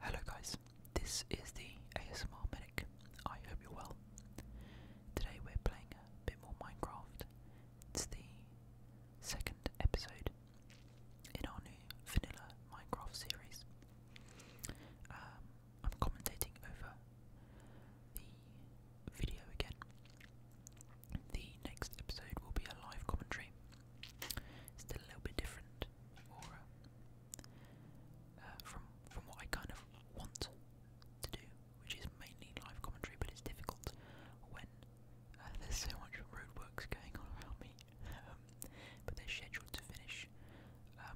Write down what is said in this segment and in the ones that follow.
Hello guys, this is the ASMR Medic. I hope you're well. Today we're playing a bit more Minecraft. It's the second episode in our new vanilla Minecraft series. Um, I'm commentating over the video again. The next episode will be a live commentary Still a little bit different uh, from from what I kind of want to do, which is mainly live commentary. But it's difficult when uh, there's so much roadworks going on around me. Um, but they're scheduled to finish um,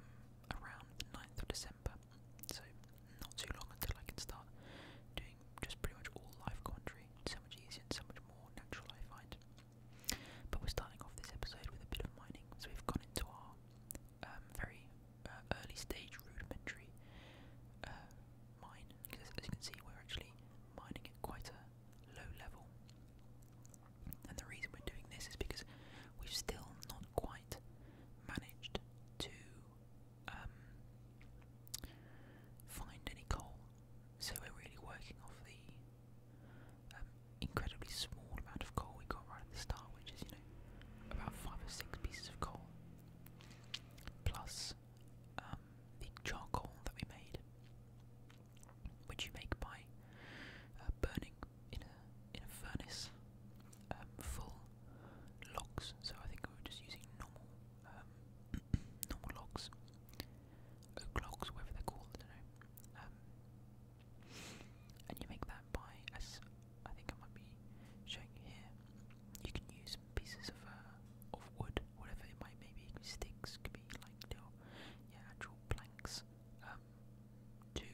around the 9th of December, so not too long until I can start doing just pretty much all live commentary. so much easier so much more natural, I find. But we're starting off this episode with a bit of mining, so we've gone into our um, very uh, early stage rudimentary uh, mine. Because as you can see, we're actually mining at quite a low level. And the reason we're doing this is because we've still not quite managed to um, find any coal. So we're really working off the um, incredibly small amount of coal we got right at the start, which is, you know, about five or six pieces of coal, plus um, the charcoal that we made, which you make by uh, burning in a in a furnace um, full logs. So I think we were just using normal normal logs o'clocks, whatever they're called, I don't know. Um, and you make that by, as I think I might be showing you here, you can use pieces of uh, of wood, whatever it might maybe sticks, could be like little yeah, actual planks, um, to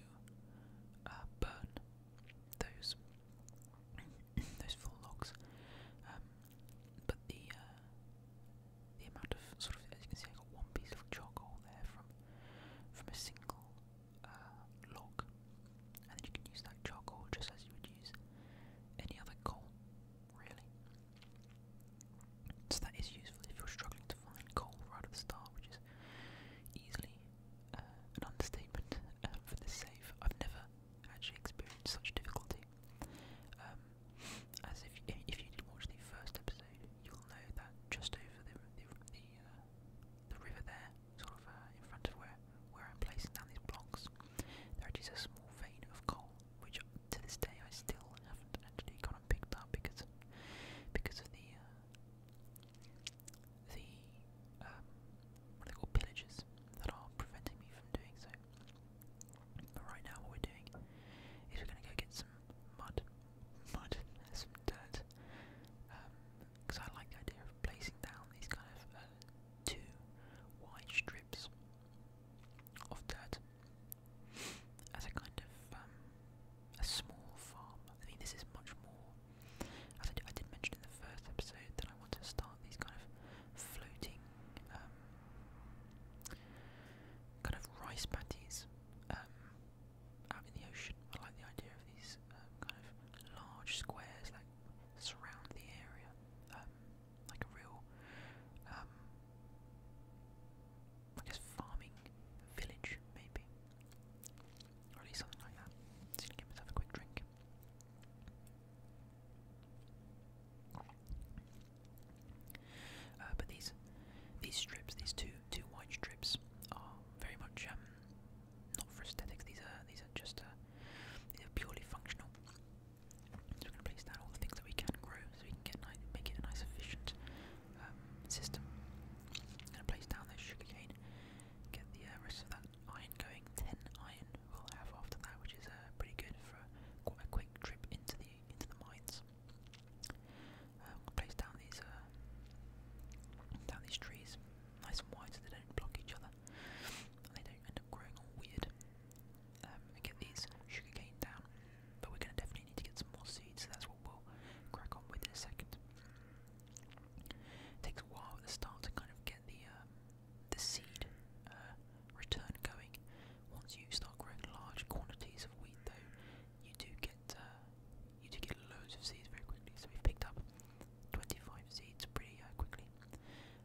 uh, burn those those full logs. Um, but the uh, the amount of sort of as you can see, I got one piece of charcoal there from from a single uh, log, and then you can use that charcoal just as you would use any other coal, really. So that is useful if you're struggling to find coal right at the start, which is easily uh, an understatement uh, for this save. I've never actually experienced such difficulty. Um, as if if, if you did watch the first episode, you'll know that just over the the the, uh, the river there, sort of uh, in front of where where I'm placing down these blocks, there is a small vein of coal, which to this day I still haven't actually gone and picked up because because of the uh, the um, what are they called pillagers that are preventing me from doing so right now, what we're doing is we're going to go get some mud, mud, some dirt, because um, I like the idea of placing down these kind of uh, two wide strips of dirt as a kind of um, a small farm. I mean, this is much more. As I, d I did mention in the first episode that I want to start these kind of floating um, kind of rice patties um, out in the ocean. I like the idea of these uh, kind of large squares that surround the area, um, like a real, I guess, farming village, maybe, or at least something like that. Let's give a quick drink. Uh, but these these strips, these two two white strips, are very much um, not for aesthetics. These are these are just uh, these are purely functional. So we're going to place down all the things that we can grow, so we can get nice, make it a nice efficient um, system. going to place down this sugarcane, get the uh, rest of that iron going. Ten iron we'll have after that, which is uh, pretty good for quite a quick trip into the into the mines. Um, we'll place down these uh, down these trees, nice and wide, so they don't block each other. And they don't end up growing all weird. Um, get these sugarcane down, but we're going to definitely need to get some more seeds, so that's what we'll crack on with in a second. It takes a while at the start to kind of get the um, the seed uh, return going. Once you start growing large quantities of wheat, though, you do get uh, you do get loads of seeds very quickly. So we've picked up 25 seeds pretty uh, quickly.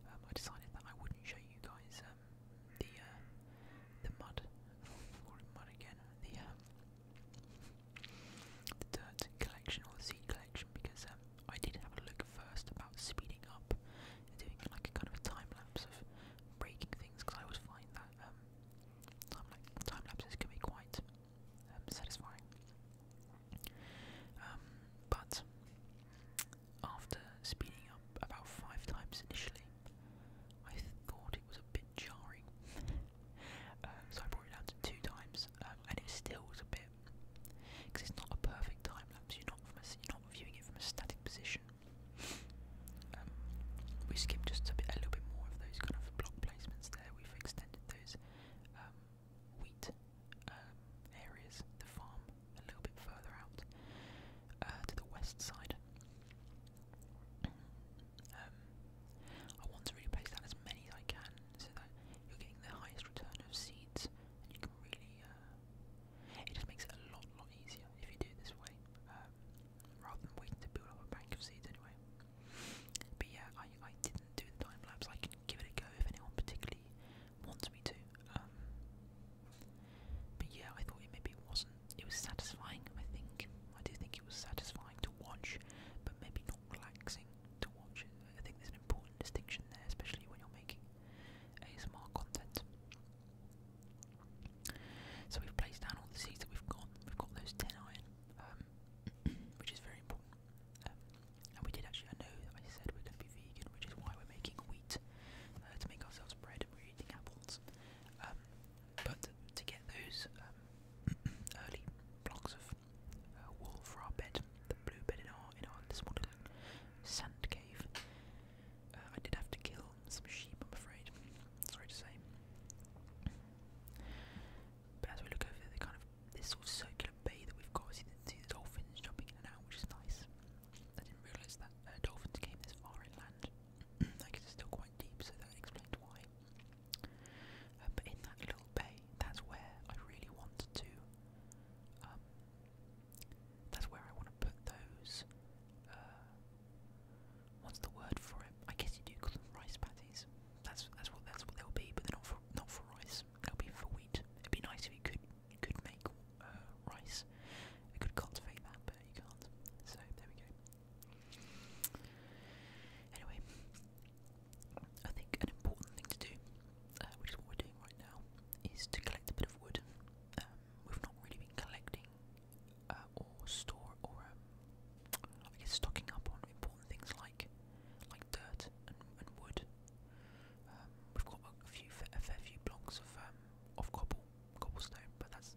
Um, I decided that I wouldn't show you guys um, the uh, the mud, mud again, the um, the dirt collection or seed collection because I did have a look first about speeding up and doing like a kind of a time lapse of breaking things because I always find that um, time, lapses can be quite um, satisfying. Um, but after speeding up about five times initially, I thought it was a bit jarring, um, so I brought it down to two times, um, and it still was a bit it because it's not a perfect time lapse. You're not from a, you're not viewing it from a static position. Um, we skipped just a bit, a little bit more of those kind of block placements there. We've extended those um, wheat um, areas, the farm, a little bit further out uh, to the west side. I want to really place that as many as I can so that you're getting the highest return of seeds and you can really uh, it just makes it a lot, lot easier if you do it this way, um, rather than waiting to build up a bank of seeds anyway. But yeah, I, I didn't do time lapse. I can give it a go if anyone particularly wants me to. Um, but yeah, I thought it maybe wasn't. It was satisfying. I think I do think it was satisfying to watch, but maybe not relaxing to watch I think there's an important distinction there, especially when you're making ASMR content. So we've placed down all the seeds that we've got. We've got those 10 iron, um, which is very important. Um, and we did actually, I know I said we're going to be vegan, which is why we're making wheat uh, to make ourselves bread. We're eating apples. Um, but to get those early blocks of uh, wool for our bed, the blue bed in our, in our this morning, sand cave. Uh, I did have to kill some sheep, I'm afraid. Sorry to say. But as we look over there, the kind of this sort of circular bay that we've got, we see the, see the dolphins jumping in and out, which is nice. I didn't realise that uh, dolphins came this far inland. I guess it's still quite deep, so that explains why. Uh, but in that little bay, that's where I really wanted to um, that's where I want to put those. Uh, what's the word for it? I guess you do call them rice patties. That's that's what that's what they'll be, but they're not for not for rice. They'll be for wheat. It'd be nice if we could could make uh, rice. You could cultivate that, but you can't. So there we go. Anyway, I think an important thing to do uh, which is what we're doing right now, is to collect a bit of wood. Um, we've not really been collecting uh, or store or um, I guess stocking up on important things like like dirt and, and wood. Um, we've got a few a fair few blocks of um, of cobble cobblestone, but that's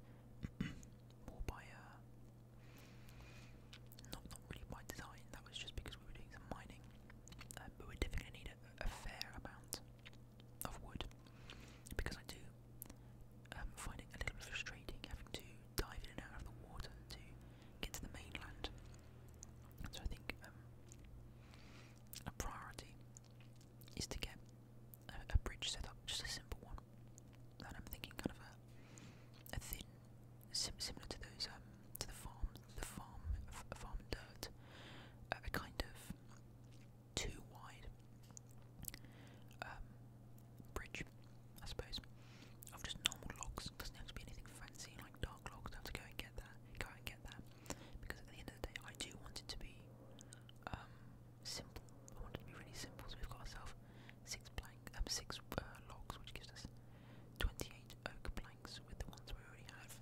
more by uh, not not really by design. That was just because we were doing some mining um, but we're definitely going to need a, a fair amount of wood because I do um, find it a little bit frustrating having to dive in and out of the water to get to the mainland. So I think um, a priority is to get a, a bridge set up, just a simple one. And I'm thinking kind of a, a thin, sim similar to those um, to the farm, the farm, farm dirt, uh, kind of too wide um, bridge, I suppose, of just normal logs. Doesn't have to be anything fancy like dark logs. I have to go and get that, go and get that, because at the end of the day, I do want it to be um, simple. I want it to be really simple. So we've got ourselves six blank, um, six uh, logs, which gives us twenty-eight oak planks with the ones we already have.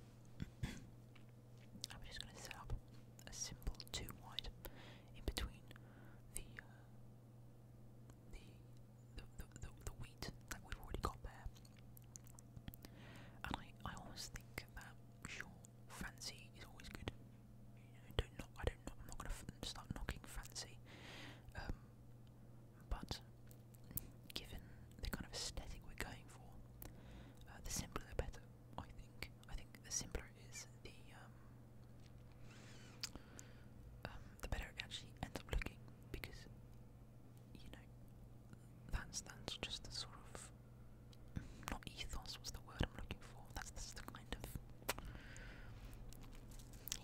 I'm just going to set up a simple two wide in between the, uh, the, the, wheat that we've already got there. And I, I always think that, sure, fancy is always good. You know, don't knock, I don't knock, I'm not going to start knocking fancy. Um, but given the kind of aesthetic we're going for, uh, the simpler the better. I think. I think the simpler it is, the um, um, the better it actually ends up looking because you know that's that's just the sort of not ethos. What's the word I'm looking for? That's that's the kind of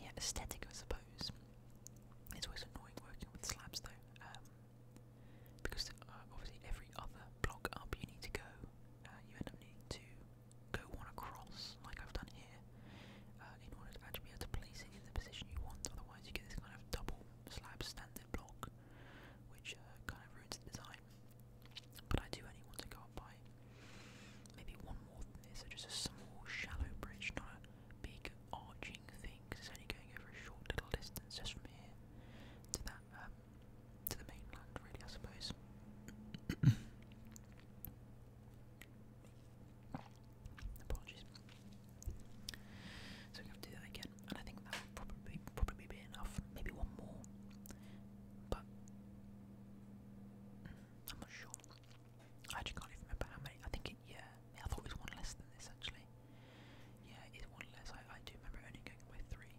yeah aesthetic, I suppose, it's always annoying working with slabs though, um, because uh, obviously every other block up you need to go, uh, you end up needing to go one across, like I've done here, uh, in order to actually be able to place it in the position you want, otherwise you get this kind of double slab standard block, which kind of ruins the design. But I do only want to go up by maybe one more than this, so just a small shallow bridge, not a big arching pushing things. It's only going over a short little distance just from here to that um, to the mainland, really, I suppose. Apologies. So we have to do that again, and I think that would probably probably be enough. Maybe one more, but I'm not sure. I actually can't remember how many. I think right? Yeah. I thought it was one less than this actually. Yeah, it's one less. I, I do remember only going by three.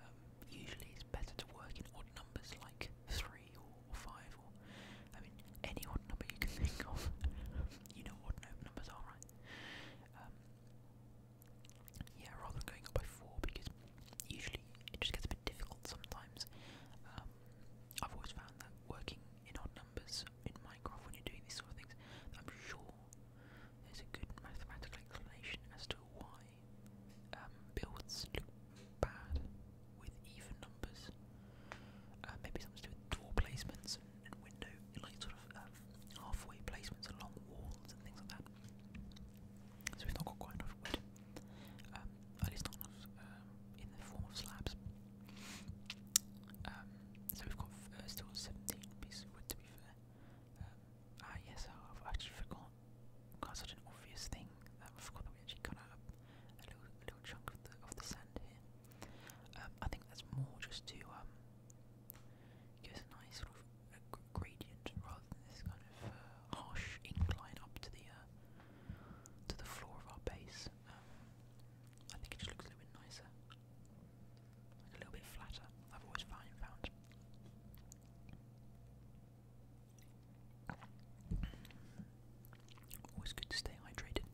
Um, usually it's better to work in odd numbers like three or, or five or, I mean, any odd number you can think of. you know what numbers are, right? Um, yeah, rather than going up by four because usually it just gets a bit difficult sometimes. Um, I've always found that working in odd numbers numbers in Minecraft when you're doing these sort of things. I'm sure there's a good mathematical explanation as to why um, builds look bad with even numbers. Uh, maybe something to do with door placements and, and window, and like sort of um, halfway placements along walls and things like that. So we've not got quite enough wood. Uh, at least not um, in the form of slabs. Um, so we've got uh, still 17 pieces of wood to be fair. Um, ah yes, I've actually forgot, got such an obvious thing that I forgot that we actually cut out a little, a little chunk of the, of the sand here. I think that's more just to um, give a nice sort of uh, gradient rather than this kind of uh, harsh incline up to the uh, to the floor of our base. Um, I think it just looks a little bit nicer, a little bit flatter. I've always found Always good to stay hydrated.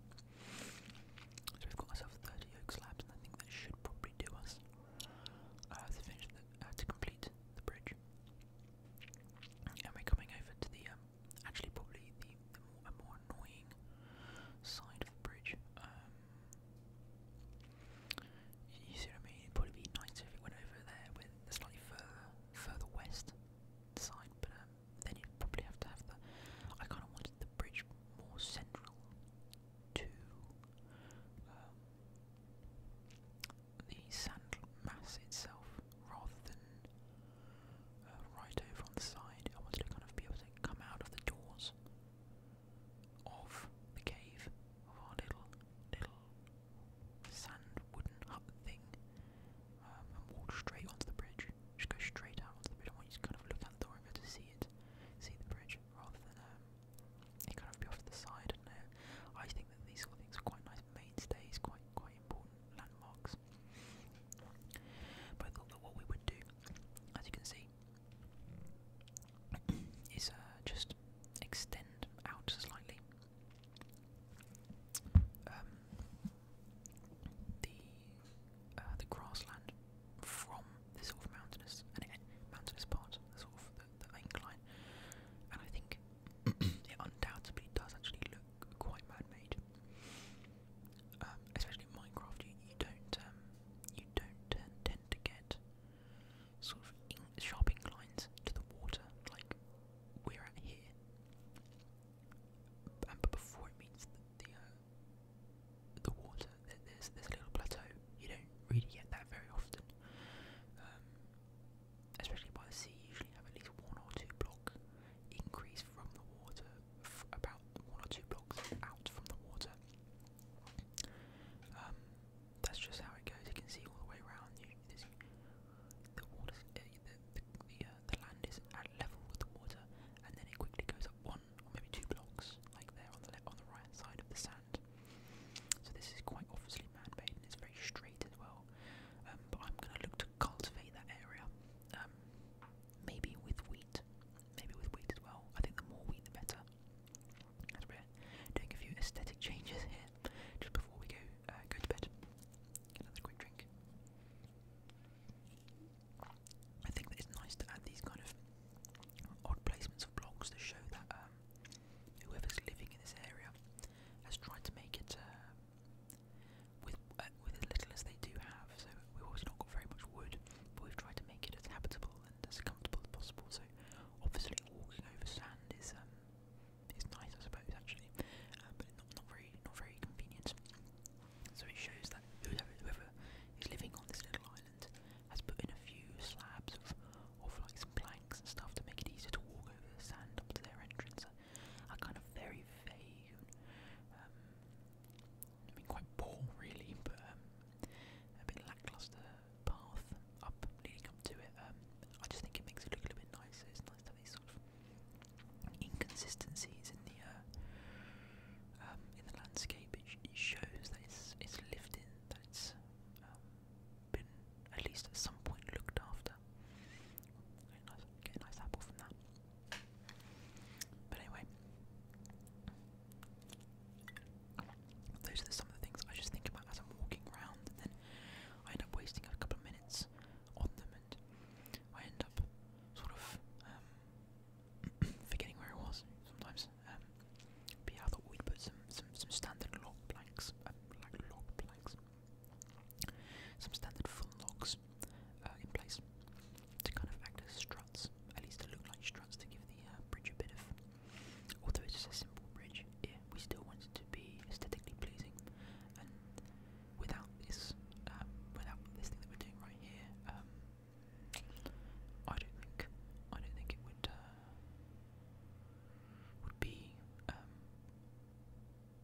So we've got ourselves 30 oak slabs, and I think that should probably do us uh, finish to complete the bridge. And we coming over to the, um, actually probably the, more, annoying side of the bridge. Um, you see what I mean? It'd probably be nicer if it went over there with the slightly further, further west side, but um, then you'd probably have to have the, I kind of wanted the bridge more central to the sand itself rather than uh, right over on the side. I wanted to kind of be able to come out of the doors of the cave of our little, little sand wooden hut thing um, and walk straight onto the bridge. Just go straight out onto the bridge. I want you to kind of look out the door to see it, see the bridge, rather than um, kind of be off to the side. And uh, I think that these sort of things are quite nice mainstays, quite quite important landmarks but I thought that what we would do, as you can see, is uh, just extend out slightly um, the uh, the grassland from the sort of mountainous and mountainous part, the sort of the incline, and I think it undoubtedly does actually look quite man-made. Um, especially Minecraft, you, you don't um, you don't tend to get sort of sharp inclines to the water like we're at here. but before it meets the the, uh, water, there's there's a little plateau. You don't really get that very often. Um, especially by the sea, usually have at least one or two block increase from the water, about one or two blocks out from the water. Um, that's just how it goes. You can see all the way around. the water, eh, the the, uh, the land is at level with the water, and then it quickly goes up one or maybe two blocks, like there on the on the right side of the sand. So this is quite obviously man-made, and it's very straight as well. Um, but I'm going to look to cultivate that area. Um, maybe with wheat. Maybe with wheat as well. I think the more wheat, the better. As we're doing a few aesthetic changes here, just before we go uh, go to bed. another quick drink. I think it's nice to add these kind of odd placements of blocks to show that um, whoever's living in this area has tried to make it uh, with uh, with as little as they do have. So we've obviously not got very much wood, but we've tried to make it as habitable and as comfortable as possible. So obviously walking over sand is um is nice, I suppose, actually, uh, but not not very not very convenient. So it shows that whoever, whoever is living on this little island has put in a few slabs of of like some planks and stuff to make it easier to walk over the sand up to their entrance are kind of very vague um, I mean quite poor really, but um, a bit lackluster path up leading up to it. Um, I just think it makes it look a little bit nicer. It's nice to have these sort of inconsistencies in the uh, in the landscape. It, shows that it's it's in, that it's been at least at some point looked after. Get a nice, apple from that. But anyway, those are some of the things I just think about as I'm walking around, and then I end up wasting a couple of minutes on them, and I end up sort of um, forgetting where I was sometimes. Um, we'd some some, some standard log blanks, um, like log blanks, some standard full logs uh, in place to kind of act as struts, at least to look like struts to give the uh, bridge a bit of. Although it's a simple bridge, yeah, we still want it to be aesthetically pleasing, and without this, um, without this thing that we're doing right here, um, I don't think, I don't think it would. Uh, would be um,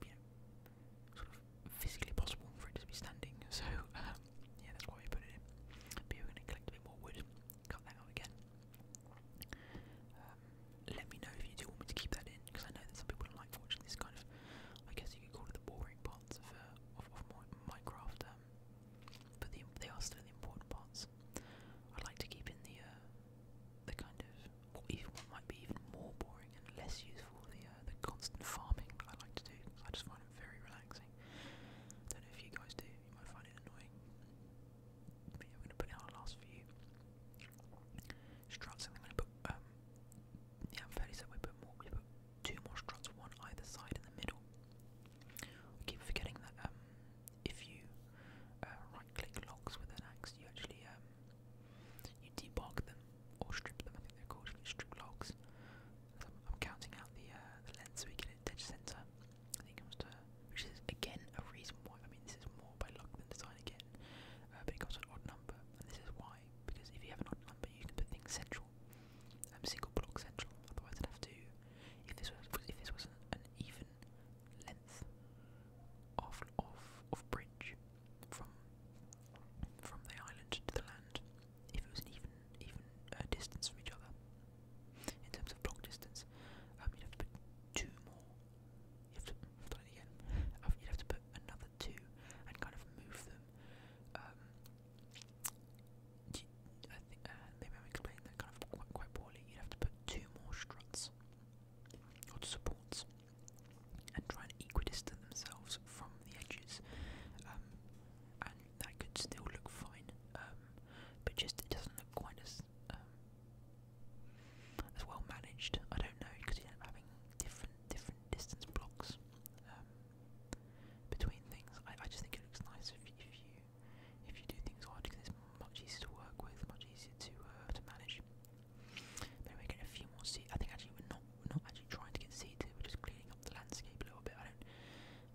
you know, sort of physically possible for it to be standing. So um, yeah, that's why we put it in. But yeah, we're going to collect a bit more wood, cut that out again. Um, let me know if you do want me to keep that in, because I know that some people like watching this kind of, I guess you could call it the boring parts of, uh, of, of my, Minecraft, um, but the, they are still the important parts. I'd like to keep in the, uh, the kind of even what might be even more boring and less useful the uh, the constant farming I like to do I just find it very relaxing. Don't know if you guys do, you might find it annoying. I'm gonna put in our last few struts, I'm gonna put um, yeah, i fairly certain we put more we put two more struts, one either side in the middle. I keep forgetting that um, if you uh, right-click logs with an axe, you actually um, you debug them or strip them. I think they're called strip logs. So I'm, I'm counting out the, uh, the length so we get a dead center. I think it comes to which is again a reason why. I mean, this is more by luck than design again, uh, but it comes to an odd number, and this is why. Because if you have an odd number, you can put things central, um, single block central. Otherwise, I'd have to. If this was if this was an, an even length of of of bridge from from the island to the land, if it was an even even uh, distance from each other in terms of block distance, um, you'd have to put two more. You have to I've done it again. Um, you'd have to put another two and kind of move them. Um, you, I think uh, maybe I'm explaining that kind of quite, quite poorly. You'd have to put two more struts or to supports, and try and equidistant themselves from the edges. Um, and that could still look fine, um, but just it doesn't look quite as um, as well managed. I don't know because you end up having different different distance blocks um, between things. I, I just think it looks nice if, if you if you do things hard because it's much easier to work with, much easier to uh, to manage. But anyway, getting a few more seeds. I think actually we're not we're not actually trying to get seeds here. We're just cleaning up the landscape a little bit. I don't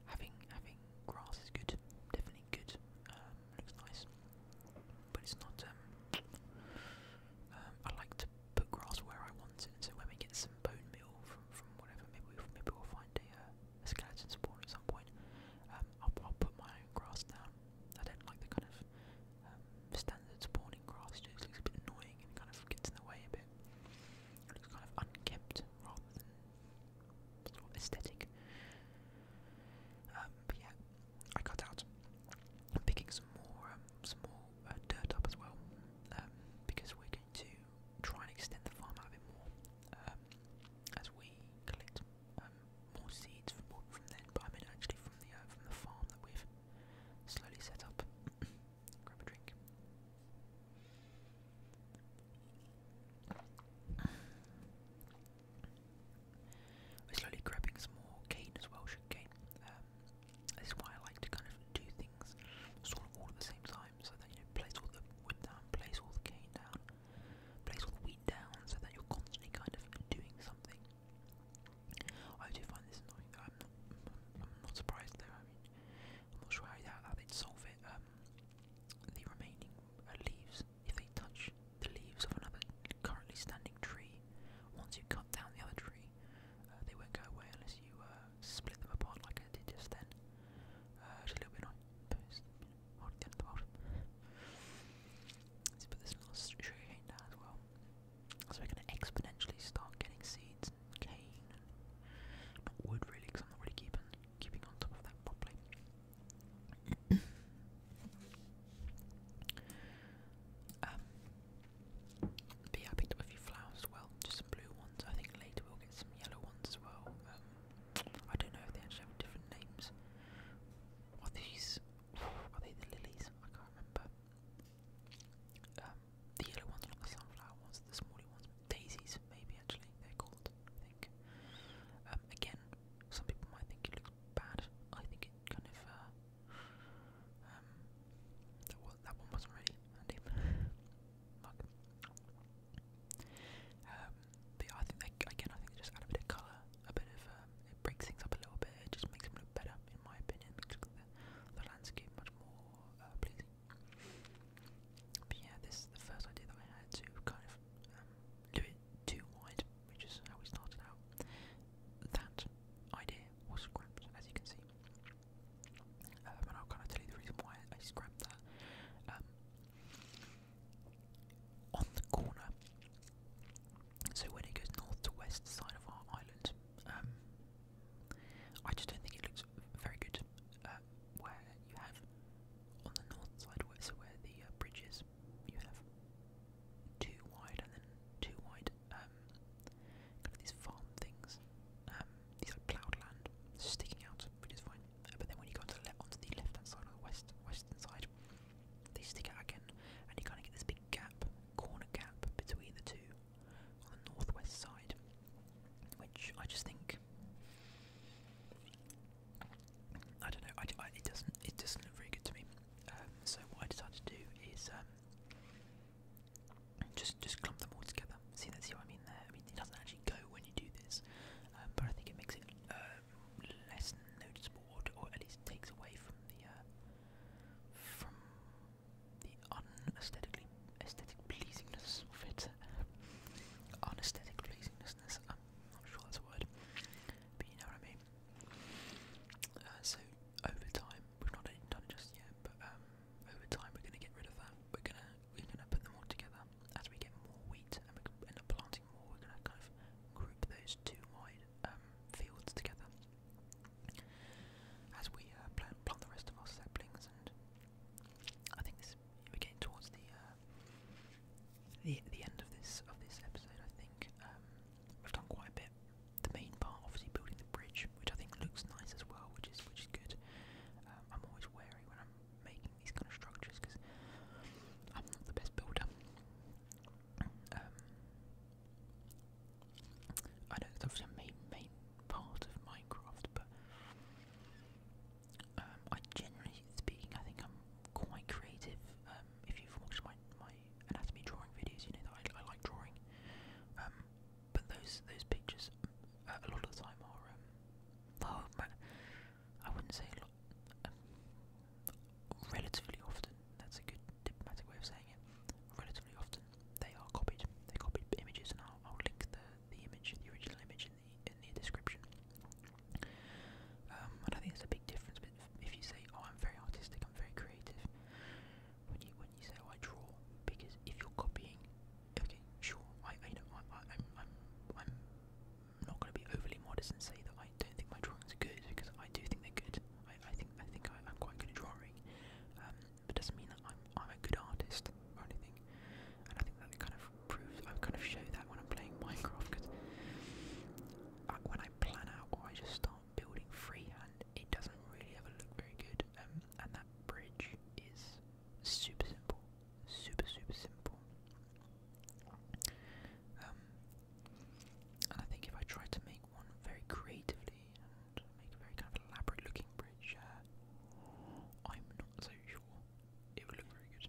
having having grass is good, definitely good. Um, looks nice, but it's not. Um, um, I like to put grass where I want it. So when we get some bone meal from from whatever, maybe we'll, maybe we'll find a. Uh, skeleton spawn at some point. Um, I'll, put my grass down. I don't like the kind of um, standard spawning grass, just looks a bit annoying and kind of gets in the way a bit. looks kind of unkempt rather than aesthetic. Um, but yeah, I cut out. I'm picking some more, some more uh, dirt up as well, because we're going to try and extend the farm out a bit more as we collect um, more seeds from then, but I mean actually from the uh, from the farm that we've slowly set up. Grab a drink. We're slowly grabbing some more cane as well, sugar cane. Um, this is why I like to kind of do things sort of all at the same time, so that you know, place all the wood down, place all the cane down, Place all the wheat down so that you're constantly kind of doing something. I do find this annoying. I'm not, surprised though. I am not sure how, how they'd solve it. Um, the remaining uh, leaves, if they touch the leaves of another currently standing tree, once you cut down the other tree, uh, they won't go away unless you uh, split them apart like I did just then. Uh, annoying, Let's put this little sugar cane down as well. So we're going to exponentially start getting seeds cane not wood really because I'm not really keeping, keeping on top of that properly. um, yeah, I picked up a few flowers as well, just some blue ones. I think later we'll get some yellow ones as well. Um, I don't know if they actually have different names. Are these? Are they the lilies? I can't remember. Um, the yellow ones not the sunflower ones. The smaller ones, daisies, maybe actually they're called. I think. Um, again, some people might think it looks bad. I think it kind of. Uh, um, that one, wasn't really handy. Like, um, yeah, I think again, I think they just add a bit of colour, a bit of um, it breaks things up a little bit. It just makes them look better, in my opinion. the, landscape much more uh, pleasing. But yeah, this is the first idea that I had to kind of um, do it too wide, which is how we started out. That idea was scrapped, as you can see. and I'll kind of tell you the reason why I scrapped that on the corner. So when it goes north to west side of our island, um, I just don't think it looks very good uh, where you have on the north side, where, so where the uh, bridge is, you have two wide and then two wide, um, kind of these farm things, um, these like ploughed land sticking out, which is fine. But then when you go to the left, onto the left hand side the west western side, they stick again, and you kind of get this big gap, corner gap between the two on the northwest side, which I just think I don't know. it doesn't it doesn't look very good to me. Um, so what I decided to do is um, just just clump them all together see that's what I mean there? I mean it doesn't actually go when you do this, um, but I think it makes it uh, less noticeable, or, at least takes away from the uh, from the unaesthetically aesthetic pleasingness of it. Unaesthetic pleasingness. I'm not sure that's a word, but you know what I mean. Uh, so over time, we've not done it just yet, but um, over time we're going to get rid of that. We're going to we're going to put them all together. As we get more wheat and we end up planting more, we're going to kind of group those two wide um, fields together. As we uh, plant, plant the rest of our saplings, and I think this we're towards the uh, the the end of this of this episode. I think um, we've done quite a bit. The main part, obviously, building the bridge, which I think looks nice as well, which is which is good. Um, I'm always wary when I'm making these kind of structures because I'm not the best builder. Um, I know that's the main main part of Minecraft, but um, I generally speaking, I think I'm quite creative. Um, if you've watched my my anatomy drawing videos, you know that I, like drawing. but those those pictures, uh, a lot of the time, are well, I wouldn't say a lot, um, relatively often, that's a good diplomatic way of saying it, relatively often they are copied, they copied images and I'll, link the, the image, the original image in the, in the description. Um, and I think there's a big difference but if you say, oh I'm very artistic, I'm very creative, when you, when you say, oh I draw, because if you're copying okay, sure. I, I I, I, I'm, I'm, I'm not going to be overly modest and say that I don't think my drawings are good because I do think they're good. I, I think, I think I, am quite good at drawing. Um, but it doesn't mean that I'm, I'm a good artist or anything. And I think that kind of proves. I kind of show that when I'm playing Minecraft because uh, when I plan out or I just start building freehand, it doesn't really ever look very good. Um, and that bridge is super simple super, super simple. Um, and I think if I try to make one very creatively and make a very kind of elaborate looking bridge, uh, I'm not so sure it would look very good.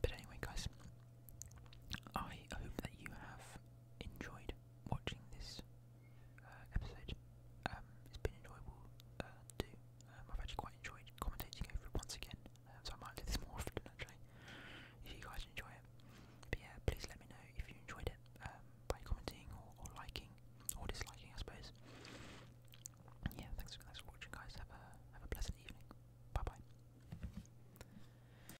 But anyway, guys, I hope that you have enjoyed watching this uh, episode. Um, it's been enjoyable uh, to um, I've actually quite enjoyed commentating over it once again, um, so I might do this more often actually, if you guys enjoy it. But yeah, please let me know if you enjoyed it by commenting or, or liking, or disliking I suppose. Yeah, thanks, thanks for watching guys, have a, have a pleasant evening. Bye bye.